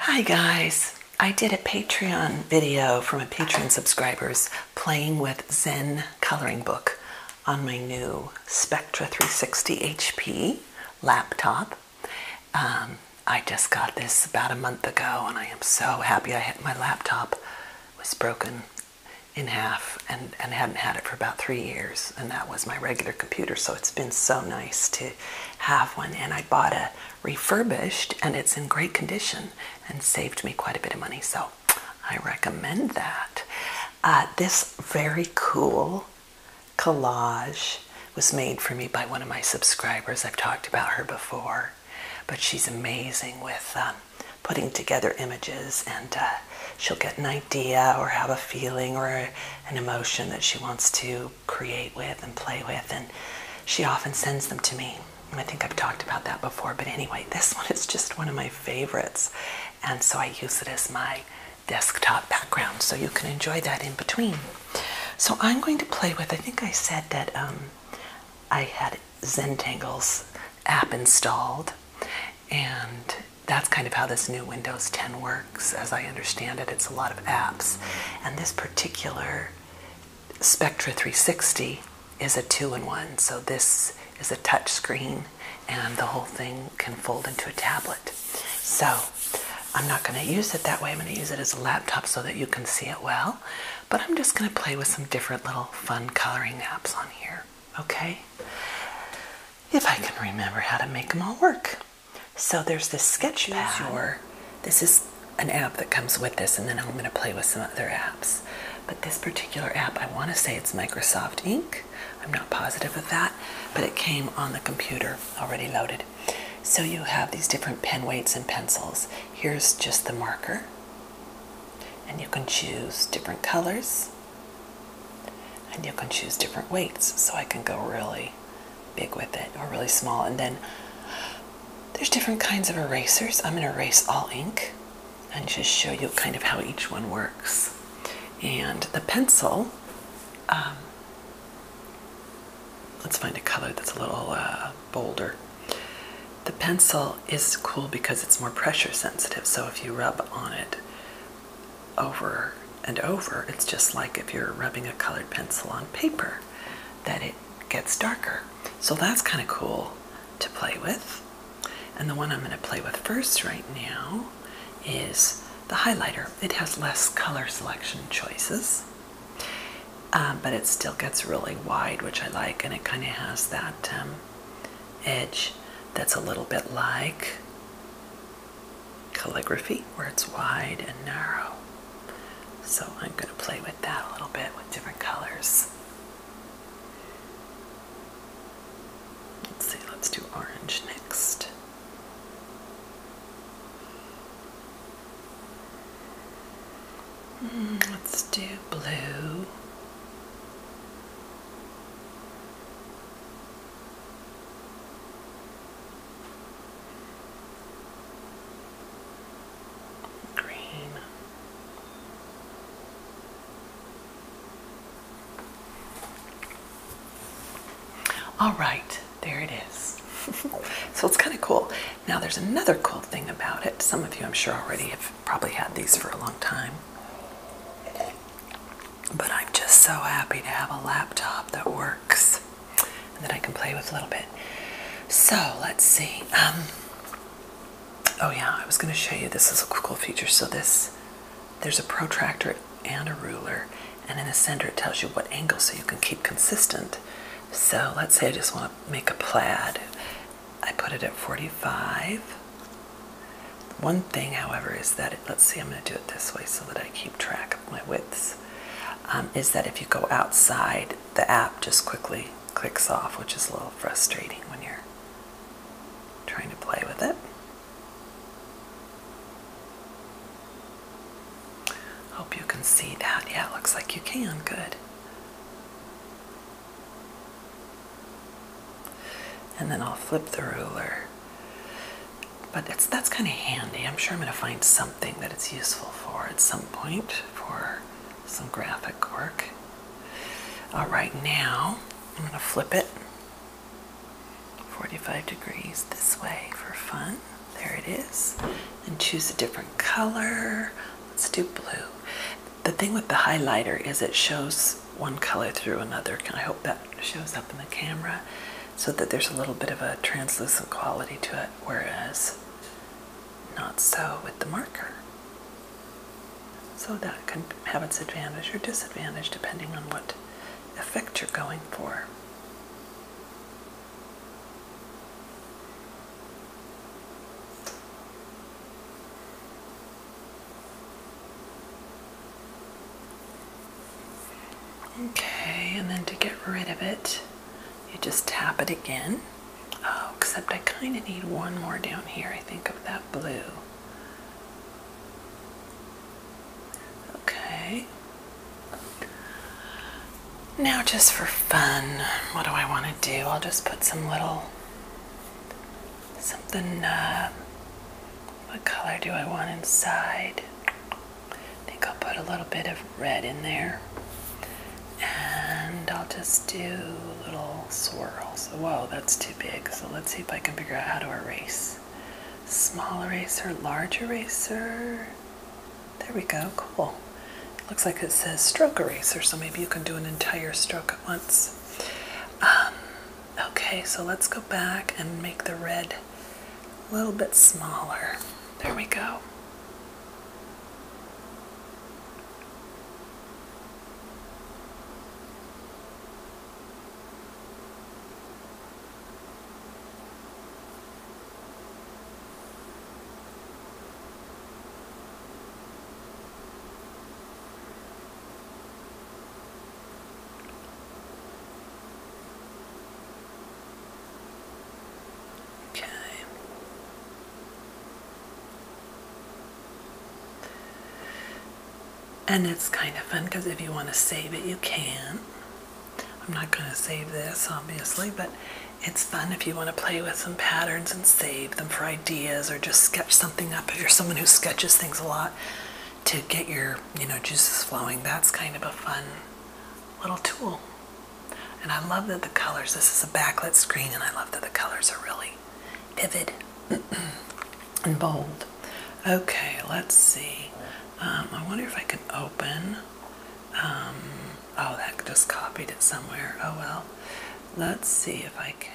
Hi guys, I did a Patreon video from a Patreon subscriber's playing with Zen coloring book on my new Spectra 360 HP laptop. Um, I just got this about a month ago and I am so happy I had my laptop was broken in half and, hadn't had it for about three years and that was my regular computer so it's been so nice to have one and i bought a refurbished and it's in great condition and saved me quite a bit of money so i recommend that uh, this very cool collage was made for me by one of my subscribers i've talked about her before but she's amazing with them. Um, putting together images and uh, she'll get an idea or have a feeling or an emotion that she wants to create with and play with and she often sends them to me i think i've talked about that before but anyway this one is just one of my favorites and so i use it as my desktop background so you can enjoy that in between so i'm going to play with i think i said that um, i had Zen tangles app installed. And that's kind of how this new Windows 10 works, as I understand it. It's a lot of apps. And this particular Spectra 360 is a two in one. So this is a touch screen and the whole thing can fold into a tablet. So I'm not going to use it that way. I'm going to use it as a laptop so that you can see it well. But I'm just going to play with some different little fun coloring apps on here, okay? If I can remember how to make them all work. So there's this sketchpad. Or this is an app that comes with this, and then I'm going to play with some other apps. But this particular app, I want to say it's Microsoft Ink. I'm not positive of that, but it came on the computer already loaded. So you have these different pen weights and pencils. Here's just the marker. And you can choose different colors. And you can choose different weights. So I can go really big with it or really small. And then there's different kinds of erasers. I'm going to erase all ink and just show you kind of how each one works. And the pencil, um, let's find a color that's a little uh, bolder. The pencil is cool because it's more pressure sensitive, so if you rub on it over and over, it's just like if you're rubbing a colored pencil on paper, that it gets darker. So that's kind of cool to play with. And the one I'm going to play with first right now is the highlighter. It has less color selection choices, um, but it still gets really wide, which I like, and it kind of has that um, edge that's a little bit like calligraphy where it's wide and narrow. So I'm going to play with that a little bit with different colors. Let's see, let's do orange next. Hmm, let's do blue. Green. All right, there it is. so it's kind of cool. Now, there's another cool thing about it. Some of you, I'm sure, already have probably had these for a long time. But I'm just so happy to have a laptop that works and that I can play with a little bit. So let's see. Um, oh yeah, I was going to show you this is a cool feature. So this, there's a protractor and a ruler, and in the center it tells you what angle so you can keep consistent. So let's say I just want to make a plaid I put it at 45. One thing, however, is that, let's see, I'm going to do it this way so that I keep track of my widths, um, is that if you go outside, the app just quickly clicks off, which is a little frustrating when you're trying to play with it. Hope you can see that. Yeah, it looks like you can. Good. And then I'll flip the ruler. But it's, that's kind of handy. I'm sure I'm going to find something that it's useful for at some point for some graphic work. All right, now I'm going to flip it 45 degrees this way for fun. There it is. And choose a different color. Let's do blue the thing with the highlighter is it shows one color through another. Can I hope that shows up in the camera so that there's a little bit of a translucent quality to it, whereas not so with the marker. So that can have its advantage or disadvantage depending on what effect you're going for. Okay, and then to get rid of it, you just tap it again. Oh, except I kind of need one more down here, I think, of that blue. Okay. Now, just for fun, what do I want to do? I'll just put some little something, uh, what color do I want inside? I think I'll put a little bit of red in there. And I'll just do little swirls. Whoa, that's too big. So let's see if I can figure out how to erase. Small eraser, large eraser. There we go, cool. Looks like it says stroke eraser, so maybe you can do an entire stroke at once. Um, okay, so let's go back and make the red a little bit smaller. There we go. Okay. And it's kind of fun because if you want to save it, you can. I'm not going to save this, obviously, but it's fun if you want to play with some patterns and save them for ideas or just sketch something up. If you're someone who sketches things a lot to get your, you know, juices flowing, that's kind of a fun little tool. And I love that the colors, this is a backlit screen and I love that the colors are really vivid and bold. Okay, let's see. Um, I wonder if I can open. Um, oh, that just copied it somewhere. Oh well. Let's see if I can.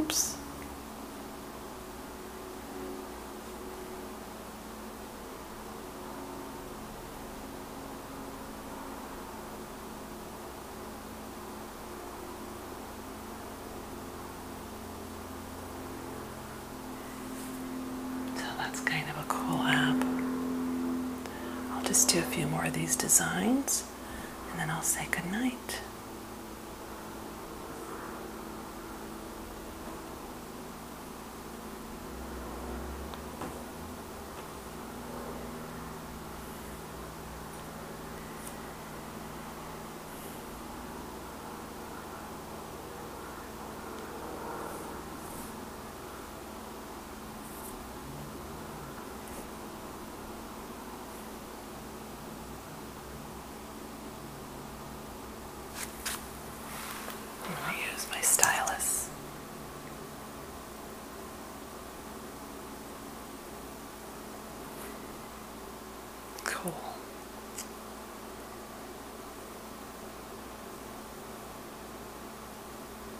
Oops. So that's kind of a cool app. I'll just do a few more of these designs and then I'll say goodnight. I use my stylus. Cool.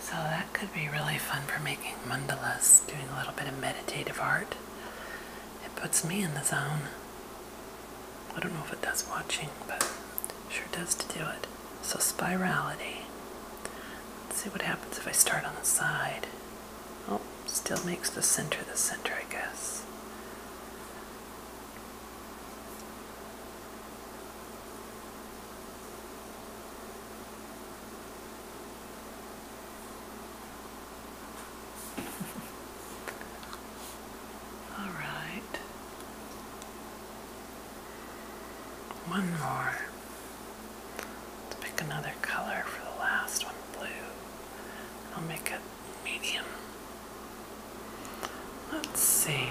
So that could be really fun for making mandalas, doing a little bit of meditative art. It puts me in the zone. I don't know if it does watching, but sure does to do it. So spirality. Let's see what happens if I start on the side. Oh, still makes the center the center, I guess. All right. One more. Let's pick another color for the last one, blue. I'll make it medium. Let's see.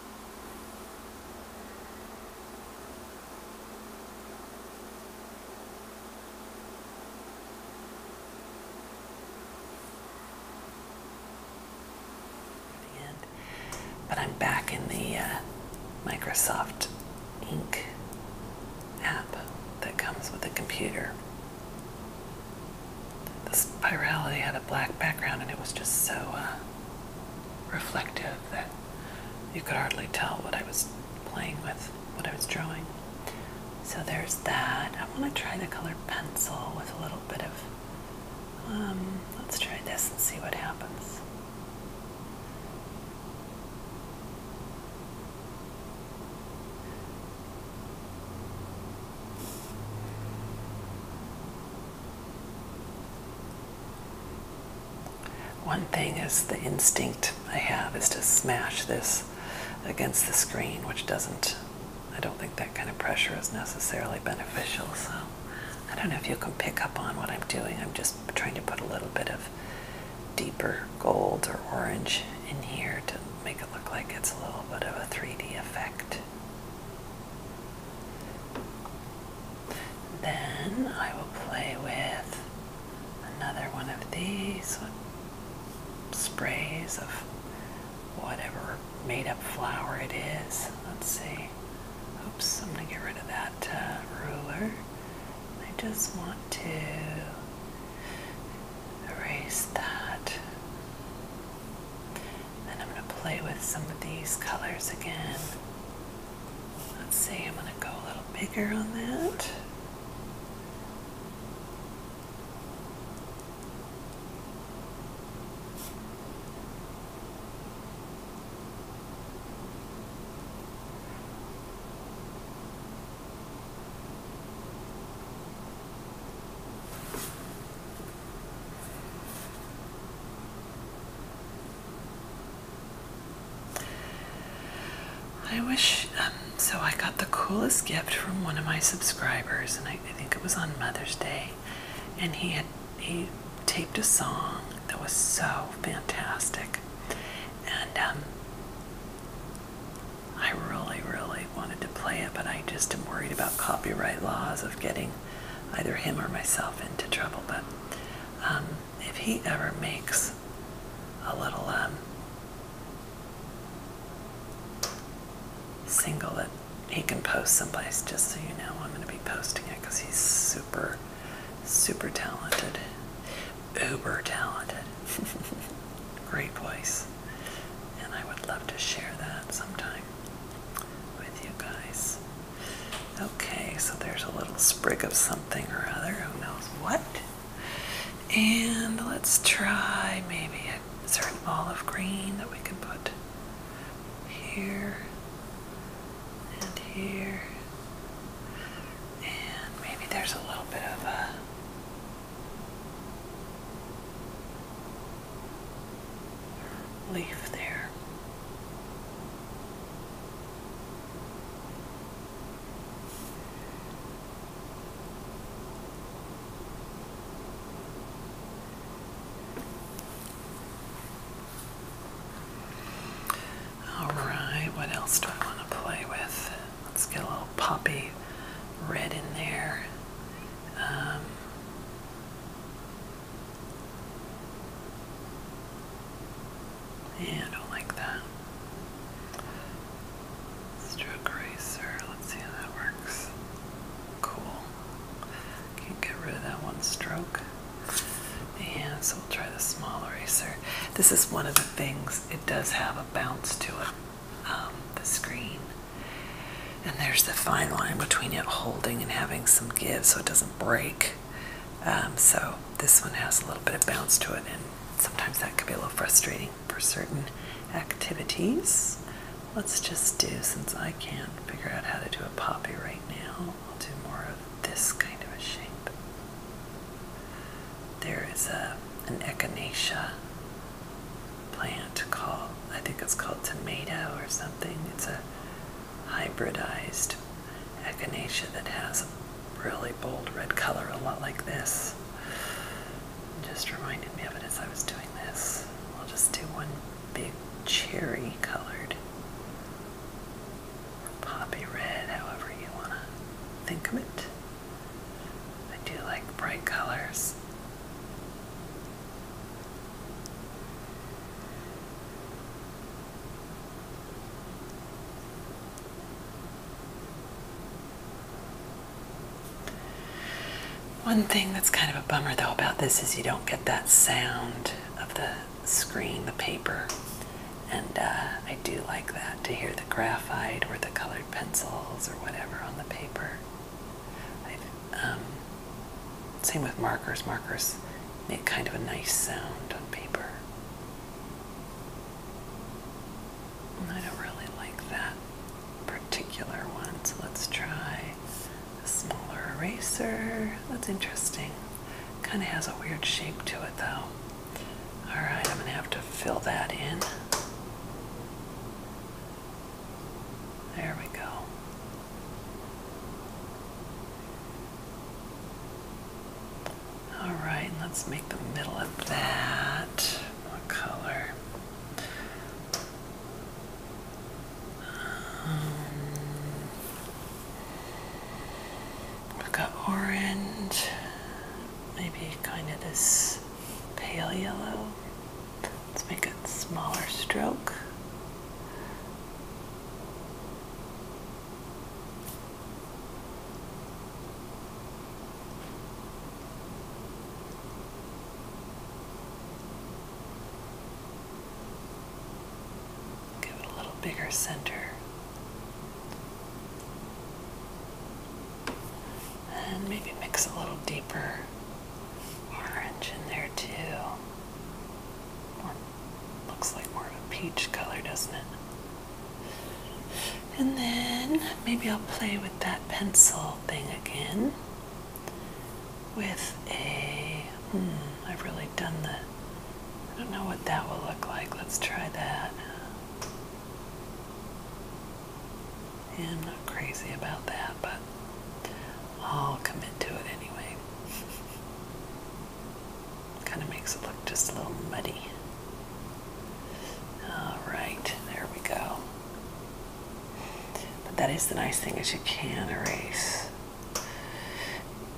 But I'm back in the uh, Microsoft Ink app that comes with the computer. The spirality had a black background and it was just so uh, reflective that you could hardly tell what I was playing with, what I was drawing. So there's that. I want to try the color pencil with a little bit of. Um, let's try this and see what happens. One thing is the instinct I have is to smash this against the screen, which doesn't, I don't think that kind of pressure is necessarily beneficial. So I don't know if you can pick up on what I'm doing. I'm just trying to put a little bit of deeper gold or orange in here to make it look like it's a little bit of a 3D effect. Then I will play with another one of these sprays of whatever made up flower it is. Let's see. Oops, I'm going to get rid of that uh, ruler. I just want to erase that. And I'm going to play with some of these colors again. Let's see, I'm going to go a little bigger on that. I wish, um, so I got the coolest gift from one of my subscribers, and I, think it was on Mother's Day, and he had he taped a song that was so fantastic, and um, I really, really wanted to play it, but I just am worried about copyright laws of getting either him or myself into trouble. But um, if he ever makes a little um, single that he can post someplace, just so you know, I'm going to be posting it because he's super, super talented, uber talented. Great voice. And I would love to share that sometime with you guys. Okay, so there's a little sprig of something or other, who knows what. And let's try maybe a certain olive green that we can put here and here. And maybe there's a little bit of a leaf there. Alright, what else do I want to play with? Let's get a little poppy red in there. Um, yeah, I don't like that. Stroke eraser. Let's see how that works. Cool. Can't get rid of that one stroke. And so we'll try the small eraser. This is one of the things, it does have a bounce to it, um, the screen. And there's the fine line between it holding and having some give so it doesn't break. Um, so this one has a little bit of bounce to it, and sometimes that can be a little frustrating for certain activities. Let's just do, since I can't figure out how to do a poppy right now, I'll do more of this kind of a shape. There is a, an echinacea plant called, I think it's called tomato or something. It's a hybridized echinacea that has a really bold red color, a lot like this. Just reminded me of it as I was doing this. I'll just do one big cherry colored poppy red, however you want to think of it. I do like bright colors. One thing that's kind of a bummer though about this is you don't get that sound of the screen, the paper. And uh, I do like that to hear the graphite or the colored pencils or whatever on the paper. Um, same with markers. Markers make kind of a nice sound on paper. I don't really like that particular one, so let's try a smaller eraser. That's interesting. Kind of has a weird shape to it though. Alright, I'm going to have to fill that in. There we go. All right, let's make the middle of that. What color? Um, we've got orange, maybe kind of this pale yellow. Let's make a smaller stroke. Give it a little bigger center. And maybe mix a little deeper orange in there too. Looks like more of a peach color, doesn't it? And then maybe I'll play with that pencil thing again with a, have hmm, really done the. I don't know what that will look like. Let's try that. I'm not crazy about that, but I'll commit to it anyway. Kind of makes it look just a little muddy. Alright, there we go. But that is the nice thing is you can erase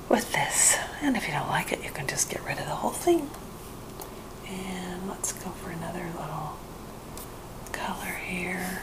with this. And if you don't like it, you can just get rid of the whole thing. And let's go for another little color here.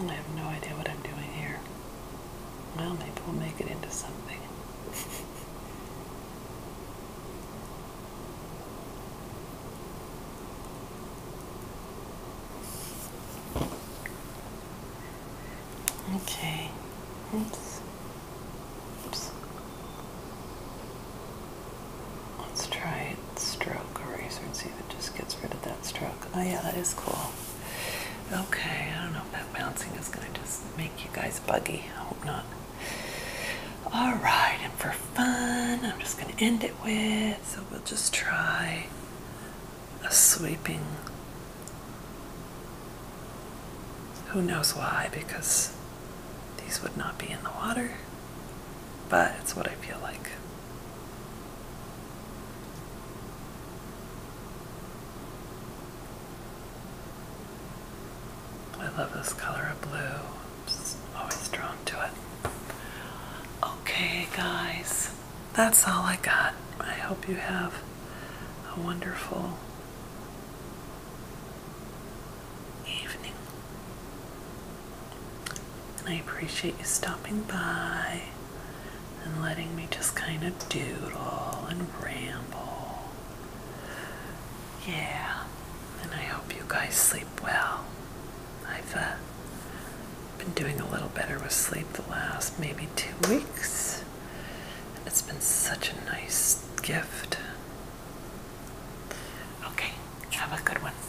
I have no idea what I'm doing here. Well, maybe we'll make it into something. Okay. Oops. Oops. Let's try stroke eraser and see if it just gets rid of that stroke. Oh yeah, that is cool. Okay, I don't know if that bouncing is gonna just make you guys buggy. I hope not. Alright, and for fun, I'm just going to end it with, so we'll just try a sweeping. Who knows why, because these would not be in the water, but it's what I feel like. I love this color of blue. I'm just always drawn to it. Okay, guys, that's all I got. I hope you have a wonderful evening. And I appreciate you stopping by and letting me just kind of doodle and ramble. Yeah, and I hope you guys sleep well. I've uh, been doing a little better with sleep the last maybe two weeks, and it's been such a nice gift. Okay, have a good one.